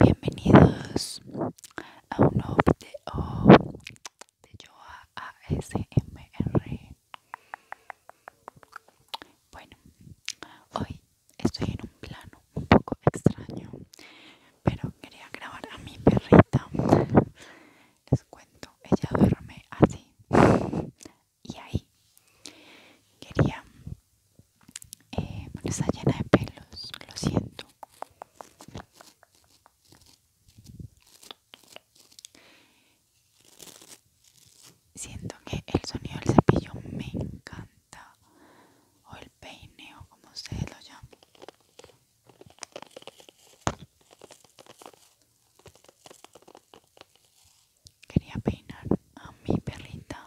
Bienvenidos a un nuevo video de Yoa ASMR. Bueno, hoy estoy en un plano un poco extraño, pero quería grabar a mi perrita. Les cuento, ella duerme así y ahí. Quería eh, está llena de pelos, lo siento. Siento que el sonido del cepillo me encanta, o el peine, o como ustedes lo llaman. Quería peinar a mi perrita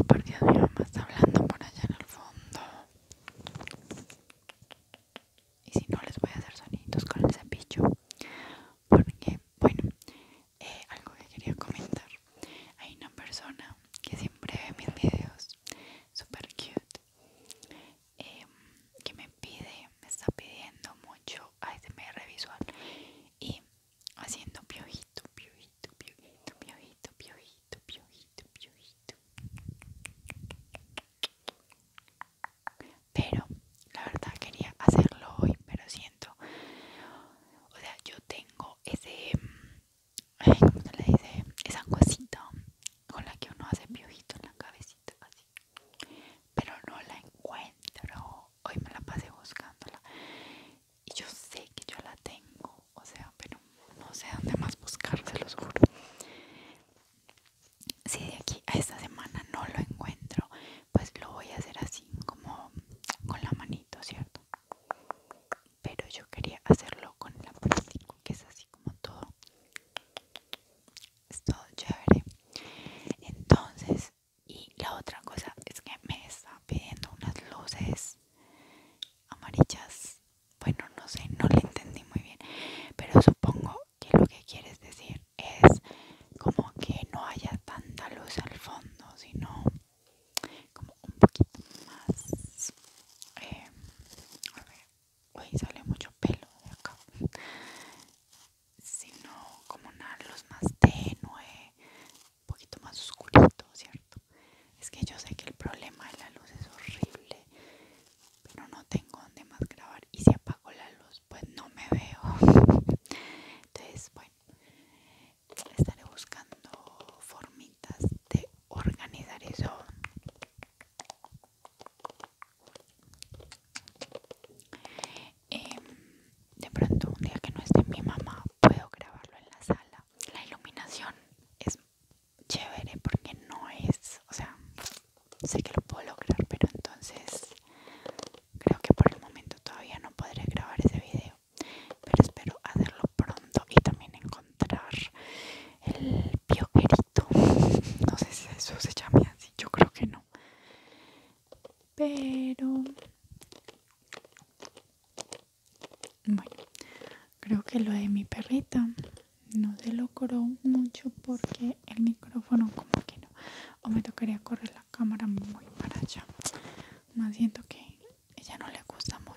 Oh, porque mi mamá está hablando por allá en el fondo. Y si no, les voy a hacer sonidos con el cepillo porque bueno eh, algo que quería comentar hay una persona que siempre ve mis videos Súper cute em, que me pide me está pidiendo mucho a ASMR visual y haciendo piojito piojito piojito piojito piojito piojito piojito pero la verdad quería hacerlo hoy pero siento o sea yo tengo ese ¿cómo se le dice? esa cosita con la que uno hace piojito en la cabecita así pero no la encuentro hoy me la pasé buscándola y yo sé que yo la tengo o sea pero no sé dónde más buscar se los juro si de aquí a esta semana no lo encuentro pues lo voy a hacer así como con la manito cierto pero yo quería hacerlo con el plástico que es así como todo es todo chévere entonces y la otra cosa es que me está pidiendo unas luces amarillas bueno no sé no le entendí muy bien pero supongo que lo que quieres decir es como que no haya tanta luz al fondo, sino como un poquito más. Em, a ver, uy, sale mucho pelo de acá. Sino como una luz más tenue, un poquito más oscurito, ¿cierto? Es que yo sé que el problema de la luz es horrible pero no tengo donde más grabar y si apago la luz pues no me veo entonces bueno estaré buscando formitas de organizar eso em, de pronto un día que no esté mi mamá puedo grabarlo en la sala la iluminación es chévere porque no es o sea sé que lo puedo lograr, pero entonces creo que por el momento todavía no podré grabar ese video. Pero espero hacerlo pronto y también encontrar el pioquerito No sé si eso se llama así, yo creo que no. Pero bueno, creo que lo de mi perrita no se logró mucho porque el micrófono como que no o me tocaría correr la cámara muy para allá más siento que ella no le gusta mucho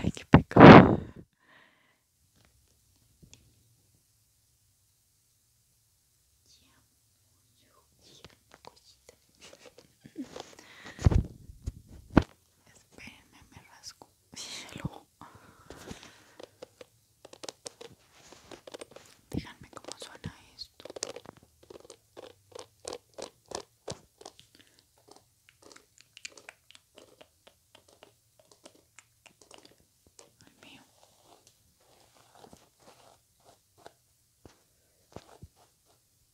Ai, que pecado. Espérenme, me rasgo. Hielo. Díganme cómo suena esto. mío.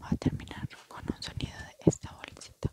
Va a terminar con un sonido de esta bolsita.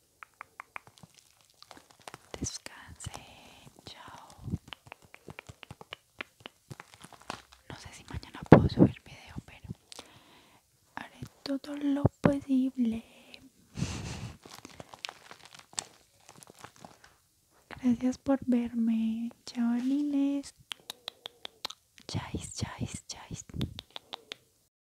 Descansen chao. No sé si mañana puedo subir video, pero haré todo lo posible. Gracias por verme. Chao, Liles. Chais, chais, chais.